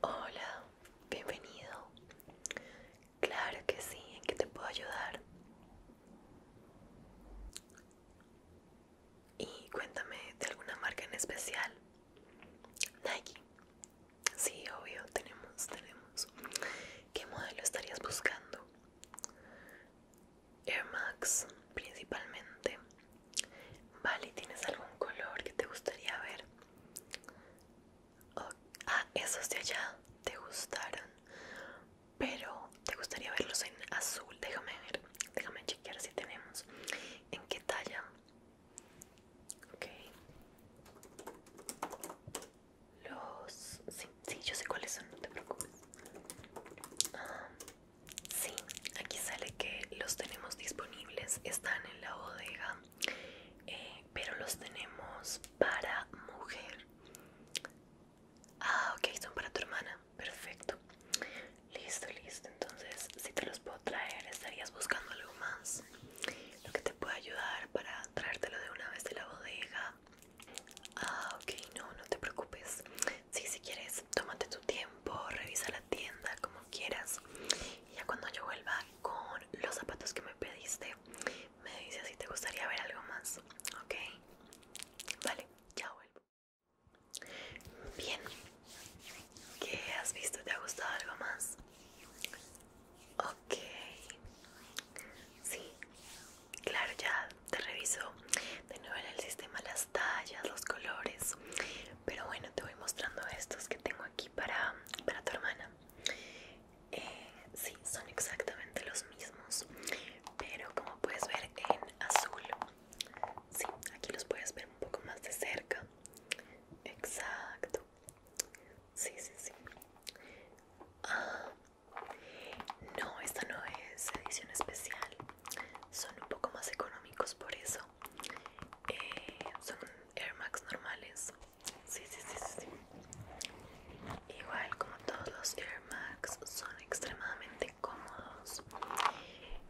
Hola, bienvenido. Claro que sí, ¿en qué te puedo ayudar? Y cuéntame de alguna marca en especial. Nike. Sí, obvio, tenemos, tenemos. ¿Qué modelo estarías buscando? Air Max principalmente. Vale, ¿tienes algún color que te gustaría ver? ah, esos de allá te gustaron, pero te gustaría verlos en azul. Déjame ver, déjame chequear si tenemos. ¿En qué talla? Ok. Los 50 Sí, yo sé cuáles son, no te preocupes. Ah, sí, aquí sale que los tenemos disponibles, están en la bodega, eh, pero los tenemos para mujer. Ah, ok, son para tu hermana, perfecto. Listo, listo, entonces si te los puedo traer, estarías buscando algo más. Lo que te pueda ayudar para traértelo de una vez de la bodega Ah, ok, no, no te preocupes. Sí, si quieres, tómate tu tiempo, revisa la tienda como quieras. Y ya cuando yo vuelva con los zapatos que me pediste, me dices si te gustaría ver algo más. Ok, vale, ya vuelvo. Bien, ¿qué has visto? ¿Te ha gustado algo más? Ok, sí, Claro, ya te reviso de nuevo en el sistema las tallas, los colores. Pero bueno, te voy mostrando estos que tengo aquí para, tu hermana. Eh, sí, son exactamente los mismos. Pero como puedes ver en azul. Sí, aquí los puedes ver un poco más de cerca. Exacto. Sí, sí, sí. Ah, no, esta no es edición especial. Son un poco más económicos por eso. Eh, son Air Max normales. Sí, sí, sí, sí. Igual como todos los Air Max son extremadamente cómodos.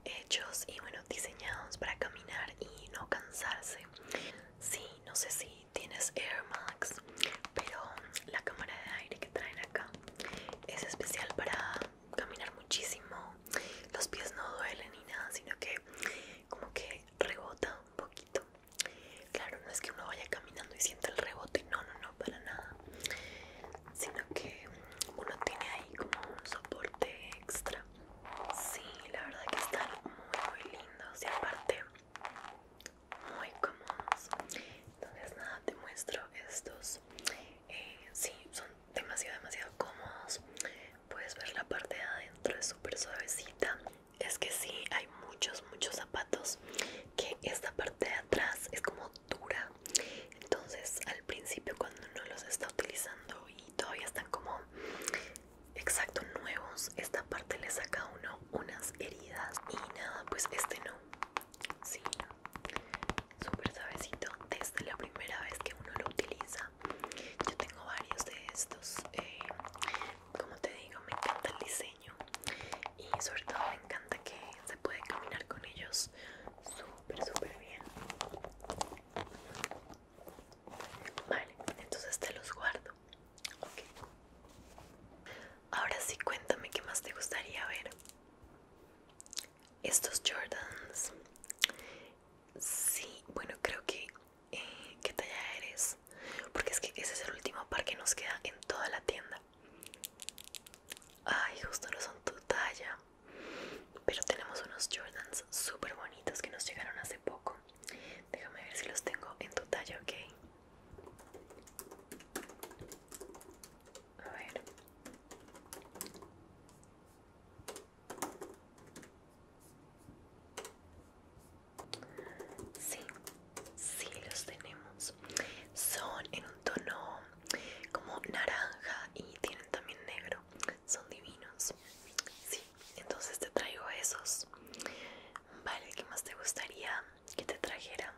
Hechos y bueno, diseñados para caminar y no cansarse. Sí, no sé si tienes Air Max, pero la cámara de aire que traen acá es especial para caminar muchísimo. Los pies no duelen ni nada, sino que como que rebota un poquito. Claro, no es que uno vaya caminando y sienta el rebote, no, no, no, para nada. Sino que uno tiene ahí como un soporte extra. Sí, la verdad que están muy, muy lindos y aparte muy cómodos entonces nada te muestro estos eh, sí son demasiado demasiado cómodos puedes ver la parte de adentro es súper suavecita es que sí hay muchos muchos zapatos que esta parte de atrás es como dura entonces al principio cuando uno los está utilizando y todavía están como exacto nuevos esta parte le saca uno unas heridas y nada pues este no sí súper suavecito desde la primera vez que uno lo utiliza yo tengo varios de estos eh, como te digo me encanta el diseño y sobre todo me encanta que se puede caminar con ellos súper súper bien vale entonces te los guardo Ok. Ahora sí, cuéntame qué más te gustaría ver. Estos Jordans. Sí, bueno, creo que... Eh, ¿Qué talla eres? Porque es que ese es el último par que nos queda en toda la tienda. Ay, justo no son tu talla. Pero tenemos unos Jordans súper bonitos que nos llegaron hace poco. Déjame ver si los tengo en tu talla, ok. A ver. Sí, sí los tenemos. Son en un tono como naranja y tienen también negro. Son divinos. Sí, entonces te traigo esos. Vale, ¿qué más te gustaría que te trajera?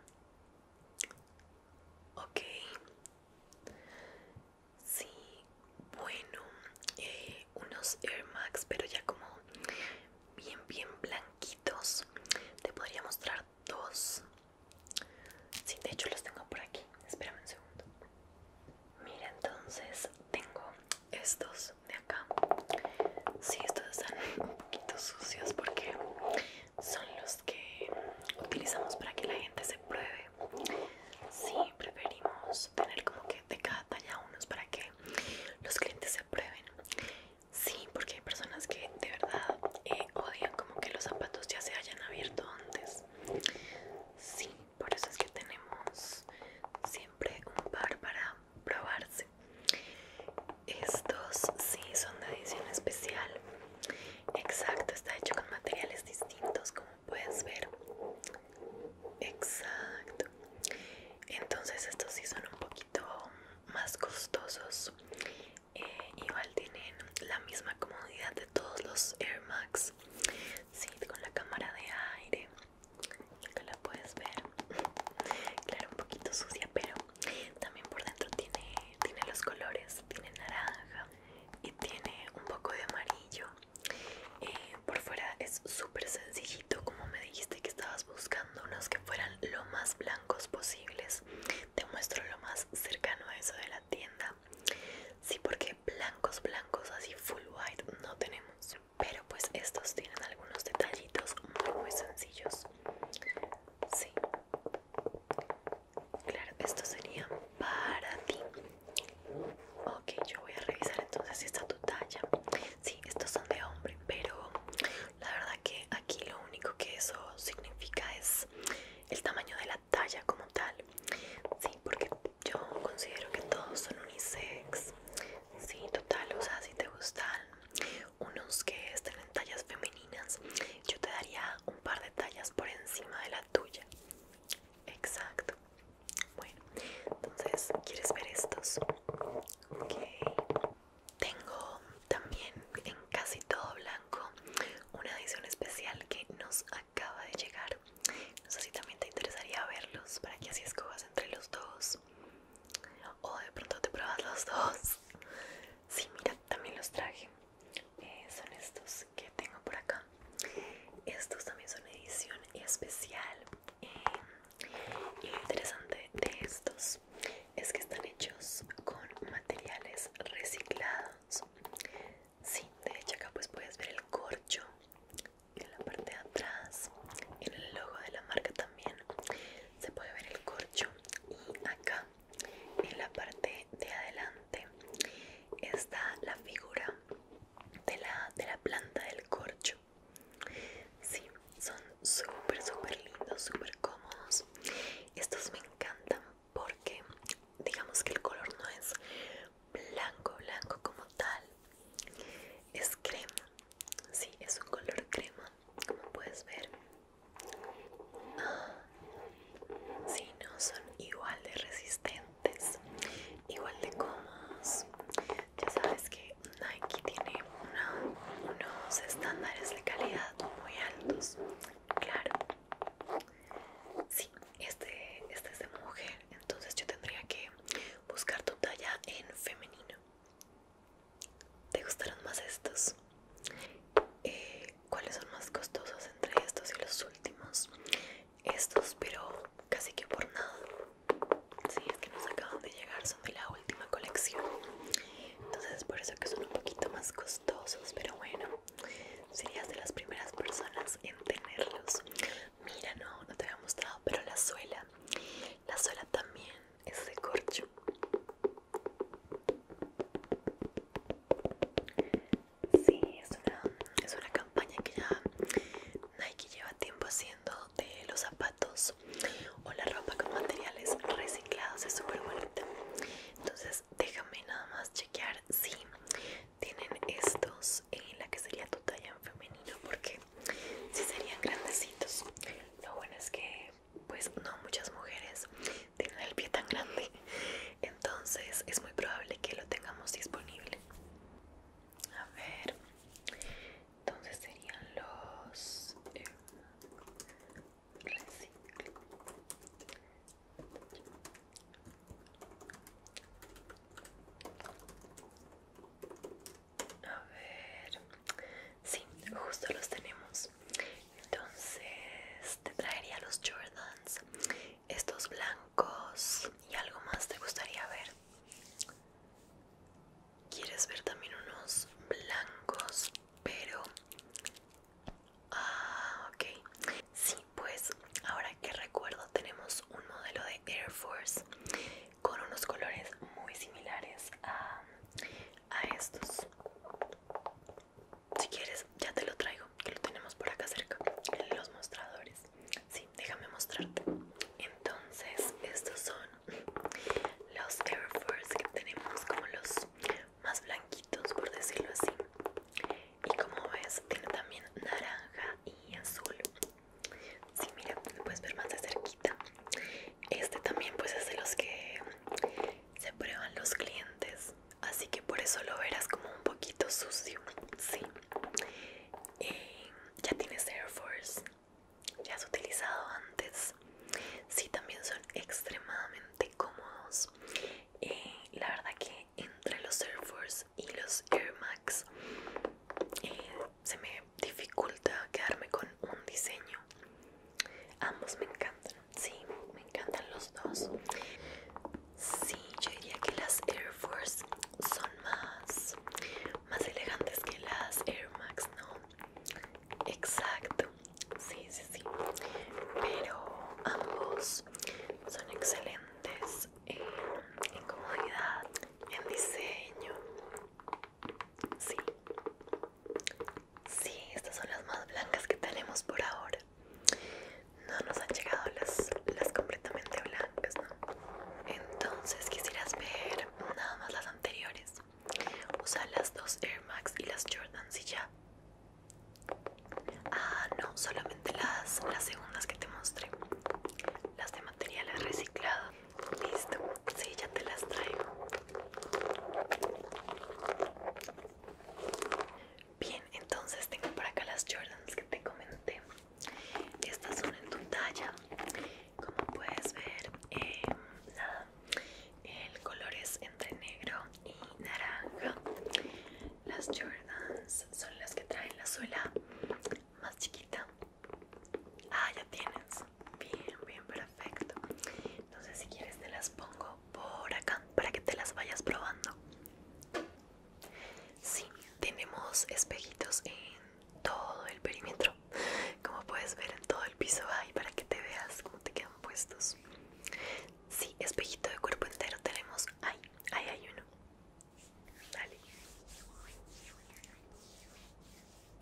Ok. Sí, bueno, eh, unos Air Max, pero ya como bien, bien blanquitos. Te podría mostrar dos. Sí, de hecho los tengo por aquí. Espérame un segundo. Mira, entonces tengo estos de acá si sí, estos están un poquito sucios porque son los que utilizamos para que la gente se pruebe si preferimos tener como que de cada talla unos para que los clientes se prueben sí porque hay personas que de verdad eh, odian como que los zapatos ya se hayan abierto antes sí por eso es que tenemos siempre un par para probarse estos sí son de edición especial exacto está hecho con materiales distintos como puedes ver exacto entonces estos sí son un poquito más costosos eh, igual tienen la misma comodidad de todos los Air Max sí con la cámara de aire acá la puedes ver claro un poquito sucia pero también por dentro tiene tiene los colores tiene naranja y tiene un poco de amarillo eh, por fuera es súper sencillito como me dijiste que estabas buscando unos que fueran lo más blancos posibles te muestro lo más cercano a eso de la tienda sí porque blancos blancos así full white no tenemos pero pues estos tienen algunos detallitos muy muy sencillos sí claro estos serían para ti ok yo voy a revisar entonces si está tu talla sí estos son de hombre pero la verdad que aquí lo único que eso significa es el tamaño de la talla como tal sí porque yo considero que todos son unisex. Sí, total, o sea, si te gustan unos que estén en tallas femeninas, yo te daría un par de tallas por encima de la tuya. Exacto. Bueno, entonces, ¿quieres ver estos? Ok. Tengo también en casi todo blanco una edición especial que nos acaba de llegar. No sé si también te interesaría verlos para que así escojas entre los dos. O de pronto te pruebas los dos. Sí, mira, también los traje. Eh, son estos que tengo por acá. Estos también son edición especial. Eh, y lo interesante de estos es que están hechos con materiales reciclados. Sí, de hecho acá pues puedes ver el corcho en la parte de atrás en el logo de la marca también se puede ver el corcho y acá en la parte de adelante está la figura de la, de la planta del corcho sí, son súper súper lindos súper cómodos estos me encantan porque digamos que el color no es blanco, blanco como tal, es crema, sí, es un color crema, como puedes ver. Ah, si no son igual de resistentes, igual de cómodos. Ya sabes que Nike tiene unos estándares de calidad muy altos, claro. Sí, este, este, es de mujer, entonces yo tendría que buscar tu talla en femenino. ¿Te gustaron más estos? Eh, ¿Cuáles son más costosos entre estos y los últimos? Estos, pero casi que por nada. Sí, es que nos acaban de llegar, son de la última colección. Entonces, por eso que son un poquito más costosos, pero bueno. Serías de las primeras personas en tenerlos. Mira, no, no te había mostrado, pero la suela. La suela también es de corcho. Sí, es una, es una campaña que ya Nike lleva tiempo haciendo de los zapatos o la ropa con materiales reciclados. Es súper bonita. Entonces, déjame nada más chequear si tienen estos en la que sería tu talla en femenino porque si serían grandecitos lo bueno es que pues no muchas mujeres tienen el pie tan grande entonces es muy probable que lo tengamos disponible a ver entonces serían los eh, a ver, sí, justo los tenemos. Entonces te traería los Jordans, estos blancos y algo más te gustaría ver. ¿Quieres ver también unos blancos, pero Ah, ok. Sí, pues ahora que recuerdo tenemos un modelo de Air Force con unos colores muy similares a, estos. Si quieres, ya te lo traigo, que lo tenemos por acá cerca, en los mostradores. Sí, déjame mostrarte. Entonces, estos son los Air Force que tenemos como los más blanquitos por decirlo así y como ves tiene también naranja y azul sí, mira puedes ver más de cerquita este también pues es de los que se prueban los clientes así que por eso lo verás como un poquito sucio sí eh, ya tienes Air Force ya has utilizado antes sí también son extremadamente cómodos eh, la verdad que entre los Air Force y los Air Max eh, se me dificulta quedarme con un diseño ambos me encantan sí me encantan los dos sí yo diría que las Air Force son más más elegantes que las Air Max no exacto Sí, sí, sí. Pero ambos son excelentes en, comodidad, en diseño. Sí. Sí, estas son las más blancas que tenemos por ahora. No nos han llegado las, las completamente blancas, ¿no? Entonces quisieras ver nada más las anteriores. Usa las dos Air Max y las Jordan y ya. Ah, no, solamente las, las segundas que te mostré. Las de materiales reciclados. Listo, sí, ya te las traigo. Bien, entonces tengo por acá las Jordans que te comenté. Estas son en tu talla. Como puedes ver, eh, el color es entre negro y naranja las Jordans son las que traen la suela más chiquita ah ya tienes bien bien perfecto entonces si quieres te las pongo por acá para que te las vayas probando Sí, tenemos espejitos en todo el perímetro Como puedes ver en todo el piso hay para que te veas cómo te quedan puestos Sí, espejito de cuerpo entero tenemos. Ay, ahí hay uno. Dale.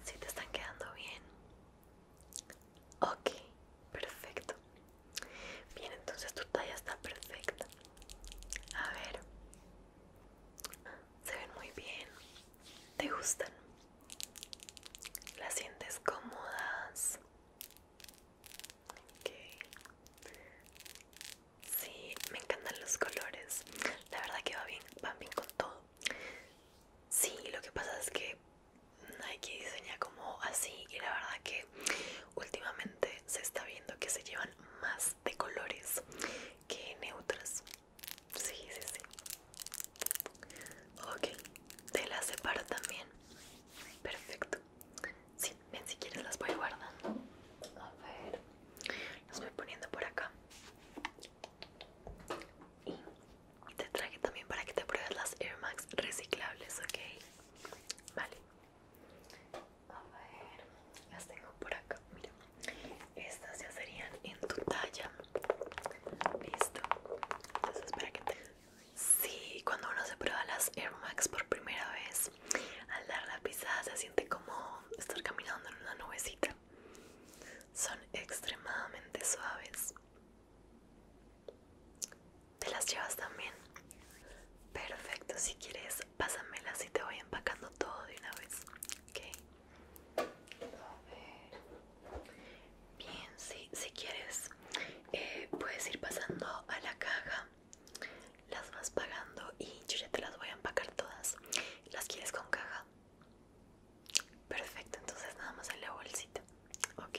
Si ¿Sí te están quedando bien. Ok, perfecto. Bien, entonces tu talla está perfecta. A ver. Se ven muy bien. ¿Te gustan? ¿Las sientes cómodas? Sí, me encantan los colores. La verdad que va bien, van bien con todo. Sí, lo que pasa es que hay que diseñar como así y la verdad que últimamente se está viendo que se llevan más de colores que neutros. Sí, sí, sí. Ok, te las separo también. Perfecto. Sí, ven si quieres las voy guardando. A ver, las voy poniendo por acá. Y te traje también para que te pruebes las Air Max reciclables, ¿ok? Vale. A ver, las tengo por acá. Mira, estas ya serían en tu talla. Listo. Entonces, espera que Sí, cuando uno se prueba las Air Max por primera vez, al dar la pisada se siente como estar caminando en una nubecita. Son extremadamente suaves. ¿Te las llevas también? Perfecto, si quieres, pásamelas y te voy empacando todo de una vez. Ok. A ver. Bien, si si quieres, eh, puedes ir pasando a la caja, las vas pagando y yo ya te las voy a empacar todas. ¿Las quieres con caja? Perfecto, entonces nada más en la bolsita. Ok.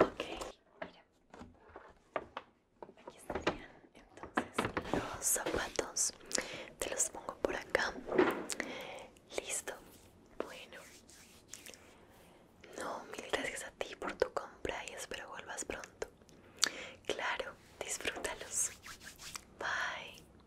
Ok, mira. Aquí estarían entonces los zapatos. Te los pongo por acá. Listo. Bueno. No, mil gracias a ti por tu compra y espero vuelvas pronto. Claro, disfrútalos. Bye.